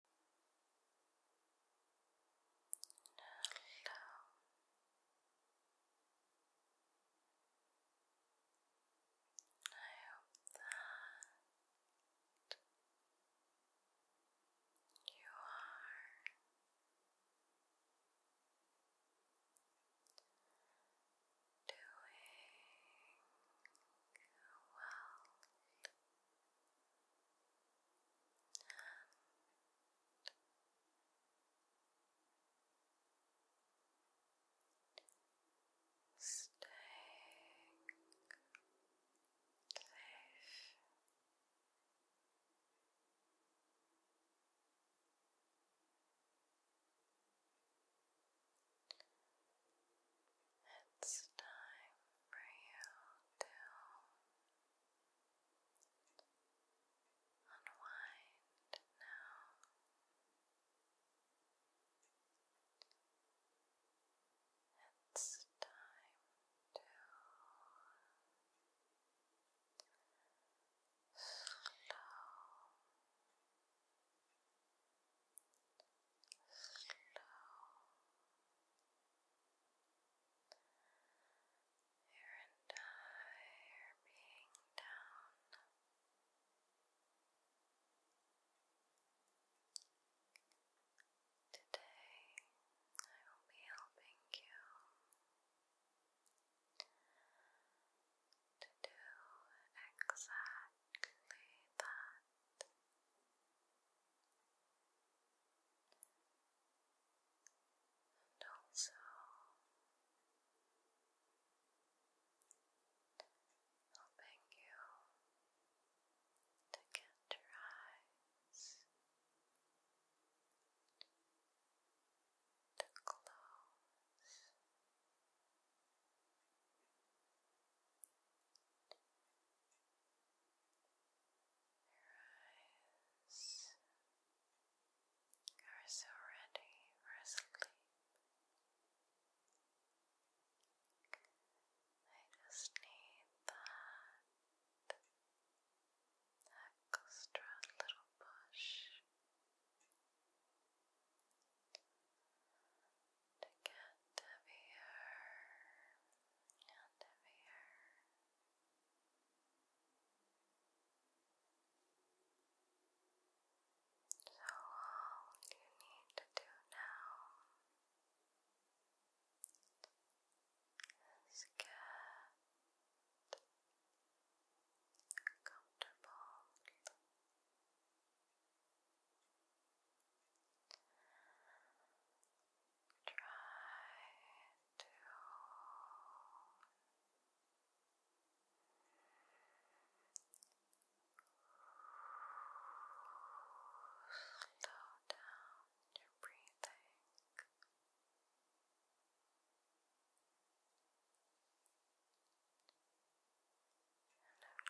I hope that you are doing well and staying it's time for you to unwind now. It's time to slow your entire being down. Today, I will be helping you to do exactly that and also helping you to get your eyes to close your eyes are so ready for sleep. I just need that extra little push to get heavier and heavier. So all you need to do now is get comfortable. Try to slow down your breathing. And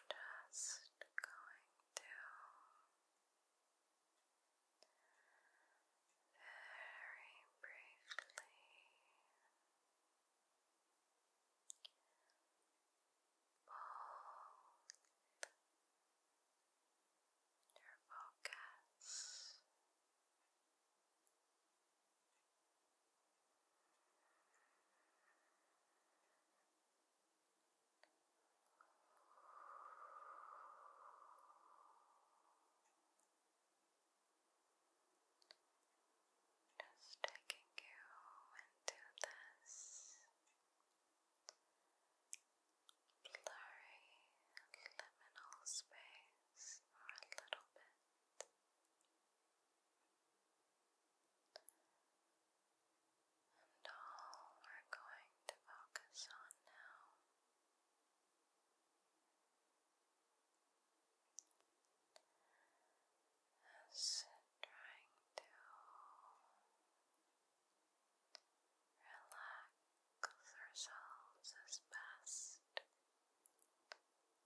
I'm just going to very briefly. Both your focus just taking you into this blurry liminal space for a little bit. And all we're going to focus on now is trying to relax ourselves as best,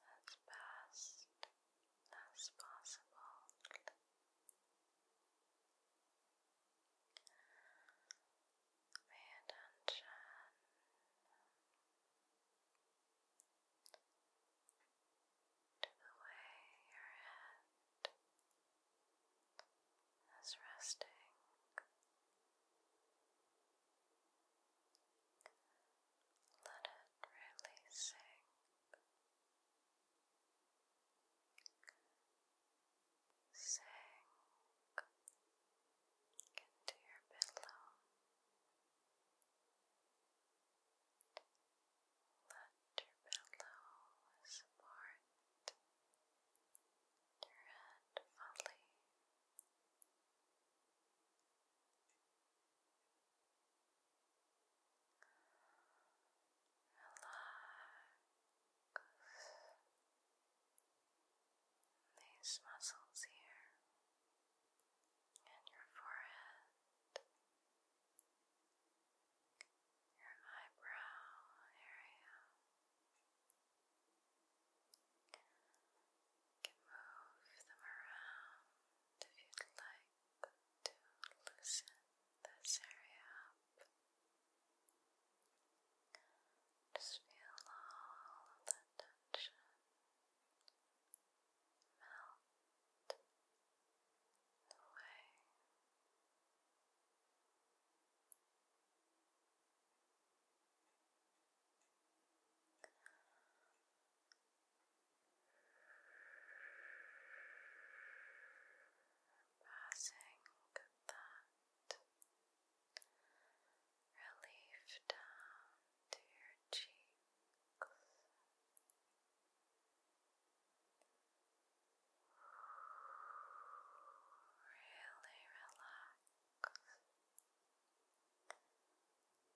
as best as possible. Pay attention to the way your head is resting. Let it really sink into your pillow. Let your pillow support your head fully these muscles here and your forehead, your eyebrow area can move them around if you'd like to loosen this area just feel all of that tension melt away. Passing that relief down to your cheeks. Really relax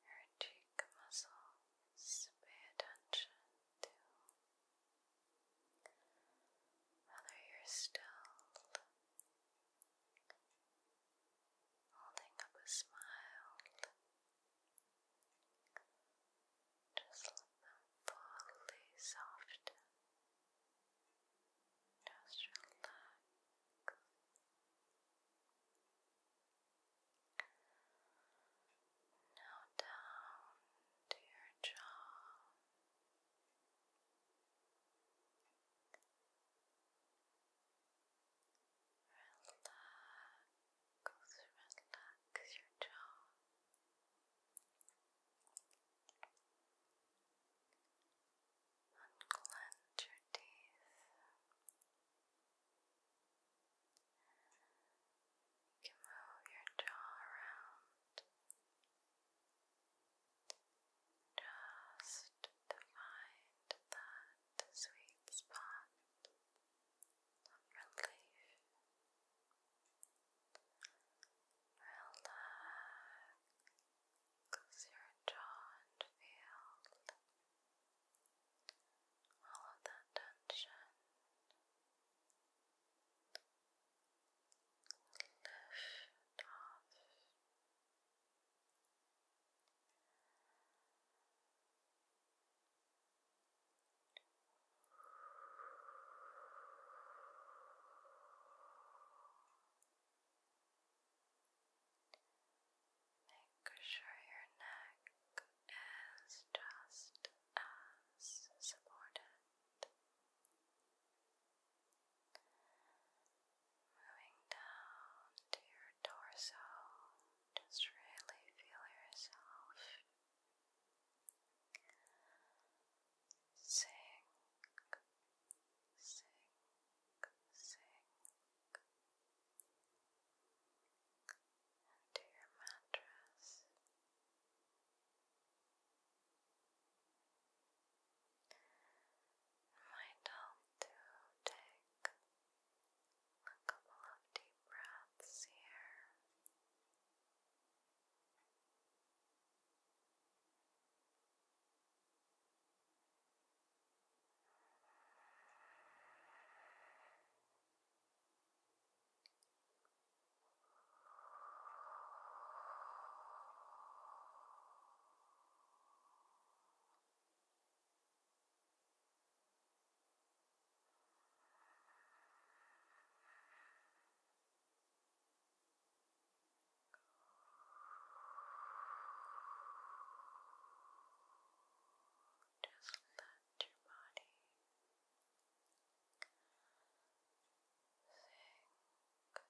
your cheek muscles. Pay attention to whether you're still holding up a smile, just let them fully soften. Just relax. Now down to your jaw. Relax, relax your jaw. Unclench your teeth. You can move your jaw around. Just to find that sweet spot of relief. Relax your jaw and feel all of that tension. Lift off. Make sure your neck is just as supported Moving down to your torso, just really feel yourself sink, sink, sink into your mattress might help to take a couple of deep breaths here. Just let your body down.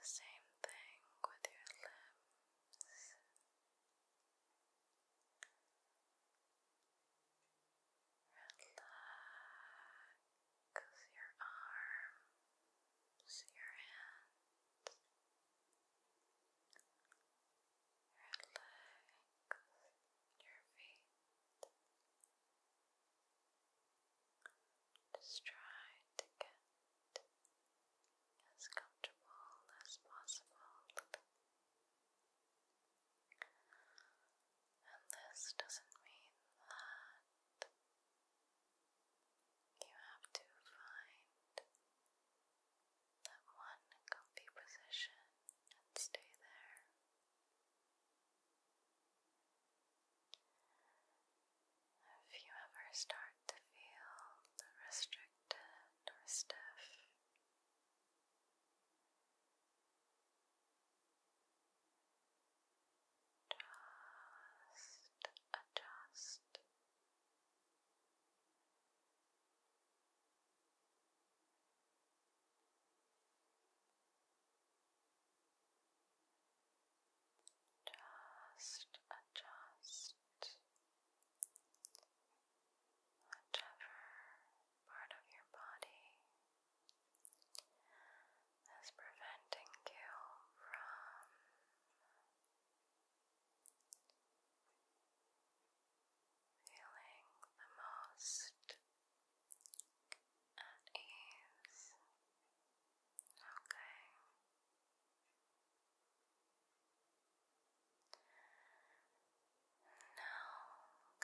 The same thing with your lips. Relax your arms, your hands your feet. Just try to get as comfortable as possible. And this doesn't mean that you have to find that one comfy position and stay there. If you ever start to feel restricted or stiff, just adjust. Just adjust whichever part of your body is preventing you from feeling the most at ease. Okay. Now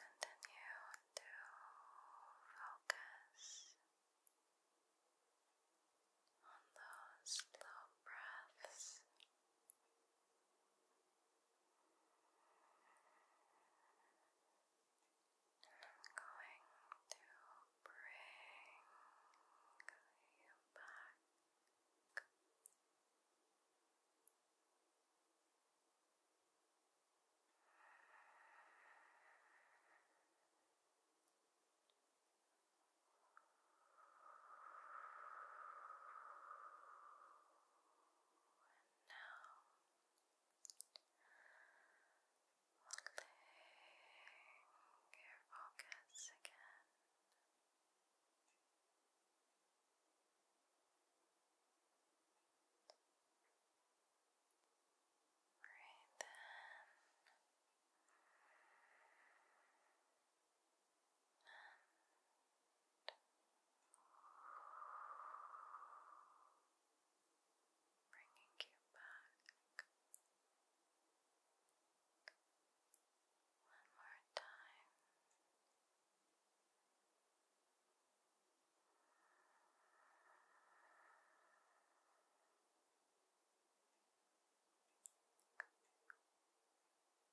continue to focus on those slow breaths. I'm going to bring you back now. Holding your focus again. Breathe in bringing you back one more time. Good. And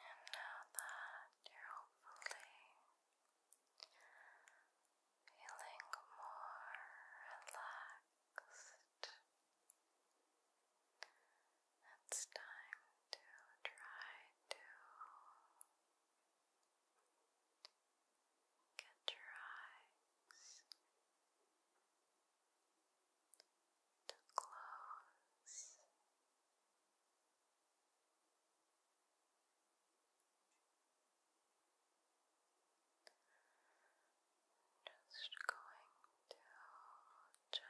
now that you're hopefully feeling more relaxed, it's time to try to Get your eyes to Just going to gently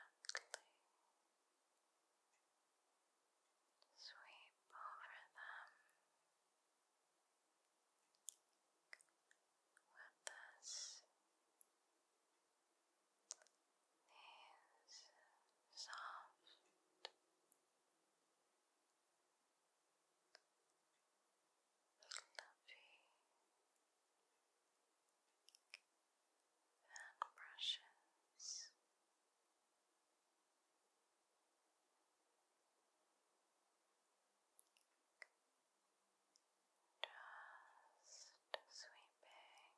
sweep over them. 私 is soft. Fluffy and brushes just sweeping and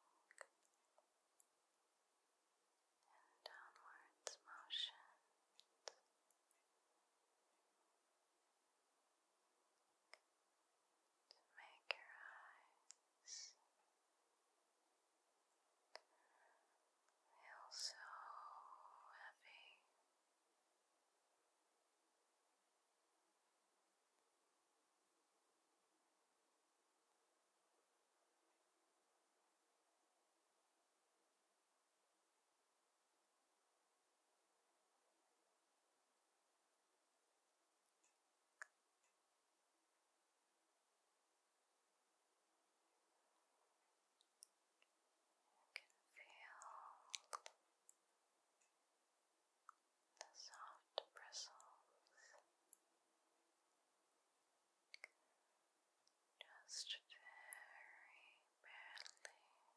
downwards motions. To make your eyes feel so happy. You can feel the soft bristles just very badly. Very badly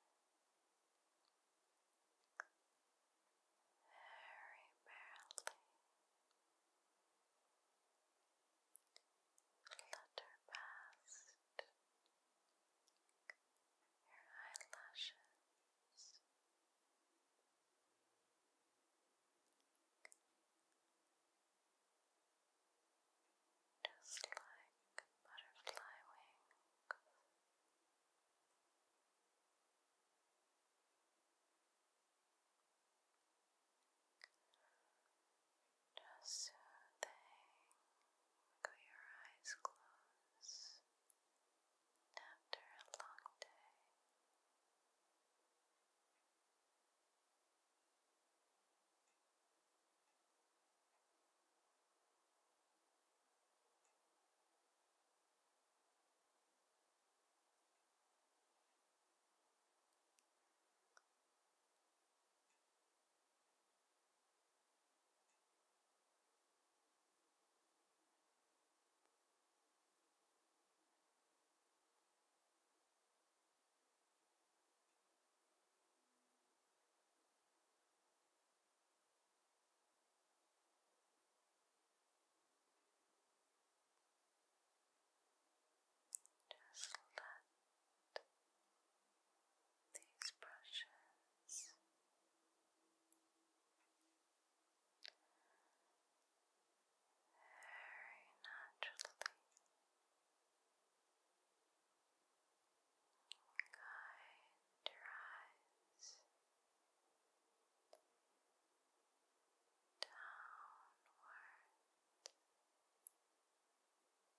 flutter past your eyelashes, just like butterfly wings just soothing. Got your eyes close after a long day. Just let these brushes. Very naturally guide your eyes downward I deserve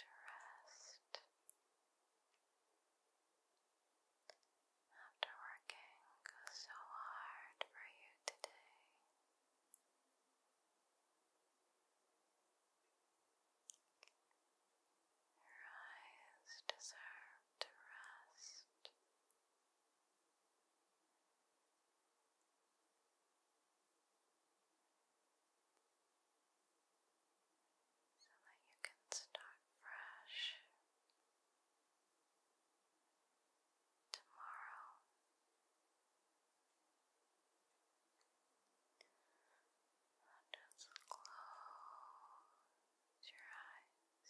to rest. After working so hard for you today, your eyes deserve to rest so that you can start fresh tomorrow. just close your eyes.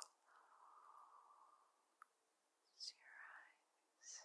Close your eyes.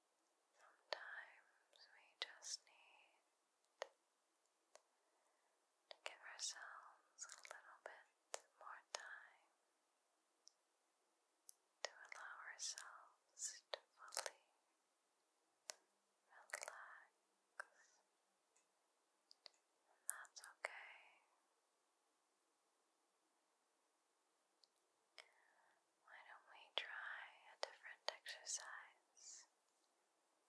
Sometimes we just need to give ourselves a little bit more time to allow ourselves to fully relax. And that's okay. Why don't we try a different exercise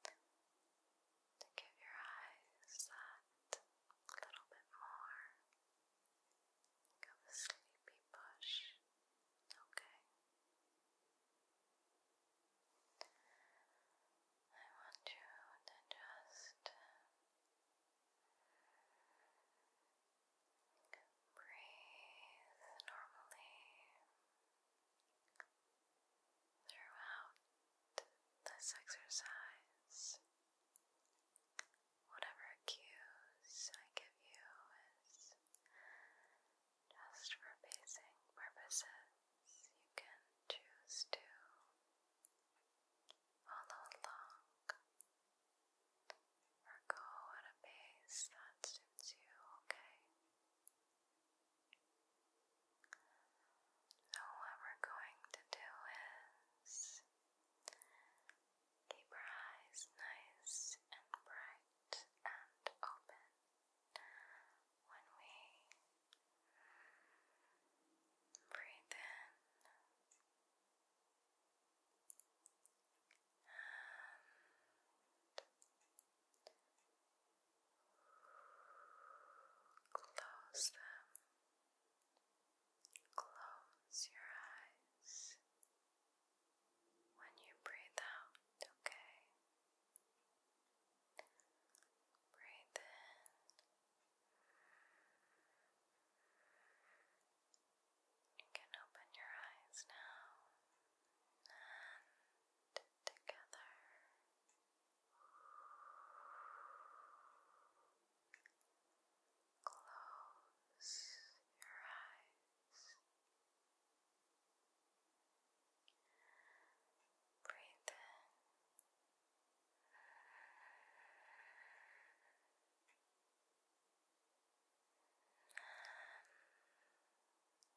to give your eyes that little bit more of a sleepy push? Okay. I want you to just breathe normally. Throughout this exercise, whatever cues I give you is just for pacing purposes. You can choose to follow along or go at a pace that suits you, okay? So, what we're going to do is keep our eyes nice and bright and open when we breathe in. Close them. Close your eyes when you breathe out, okay? Breathe in. You can open your eyes now together. Close your eyes. Breathe in.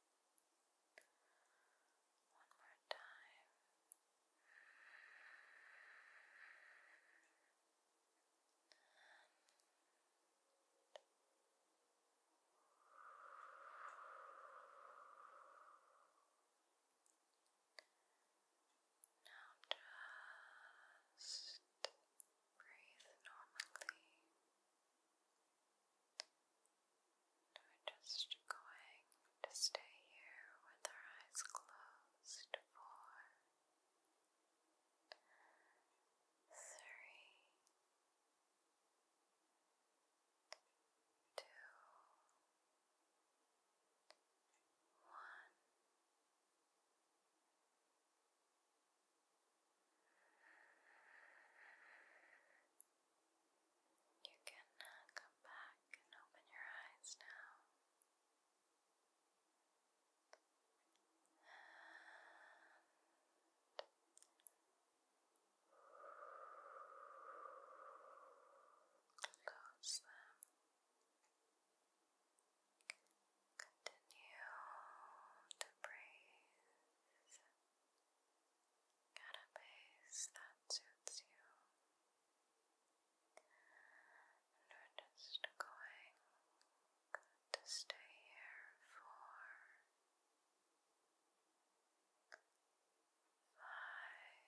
One more time. And now just breathe normally. We're just going to stay here with our eyes closed for three, two, one. You can uh, come back and open your eyes now. close them. Continue to breathe. Get a base that suits you. we're just going to stay here for five, four, three,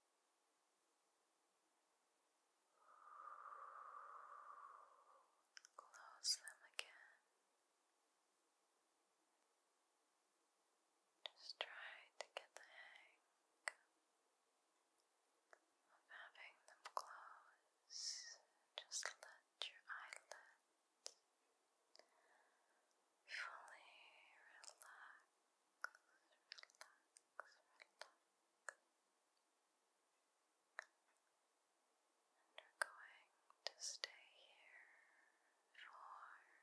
Close them again. Just try to get the hang of having them close. Just let your eyelids fully relax. And we're going to stay here for ten, nine, eight.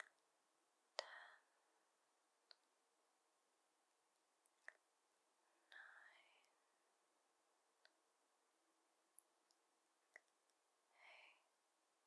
Seven,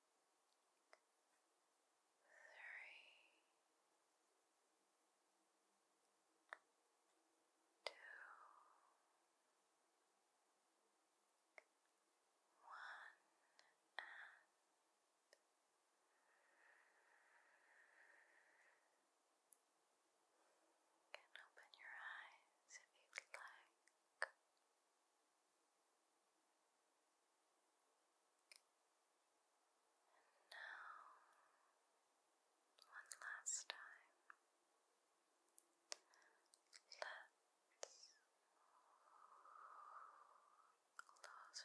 and you can open your eyes if you'd like. And now, one last time, let's close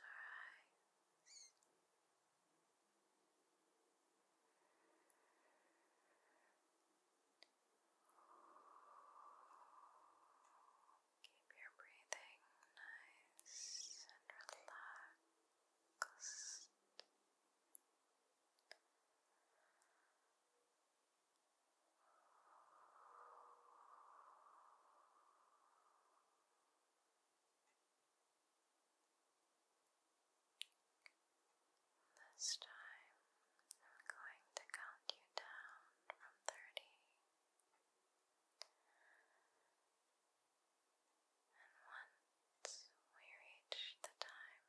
our eyes. Keep your breathing nice and relaxed. This time, I'm going to count you down from 30. And once we reach the time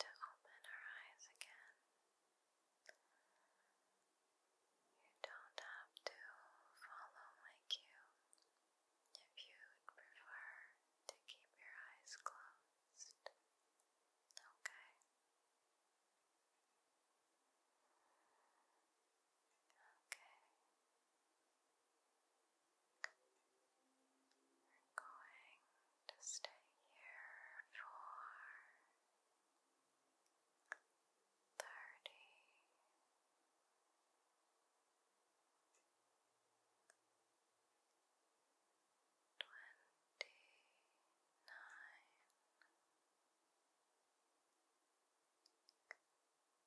to open our eyes again, you don't have to follow my cue if you prefer to keep your eyes closed. Okay? Okay. We're going to stay here for thirty twenty nine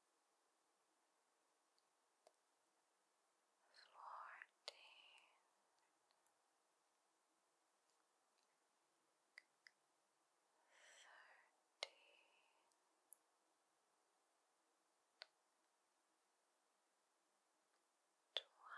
Fourteen. Thirteen. Twelve. Eleven.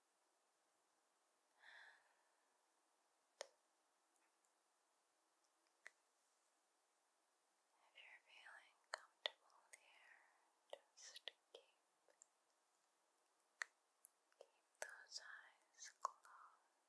And if you're feeling comfortable there, just keep those eyes closed. those eyes closed.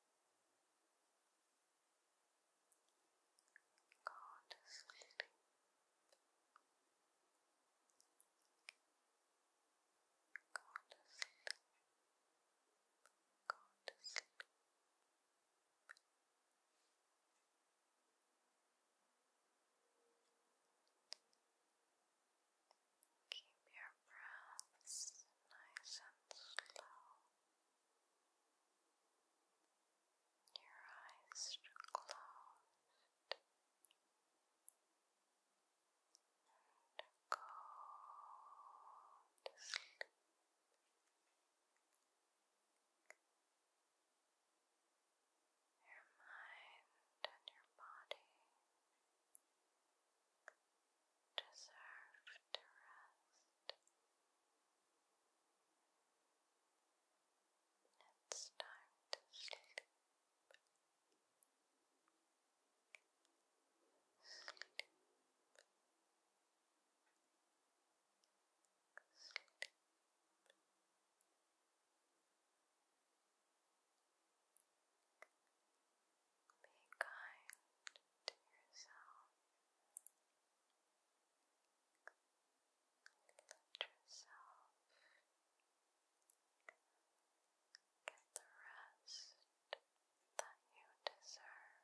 Go to sleep. Go to sleep. Go to sleep. Keep your breaths nice and slow. Your eyes closed and go Your mind and your body deserve to rest. It's time to sleep. Sleep. Sleep. Be kind to yourself. Let yourself get the rest that you deserve.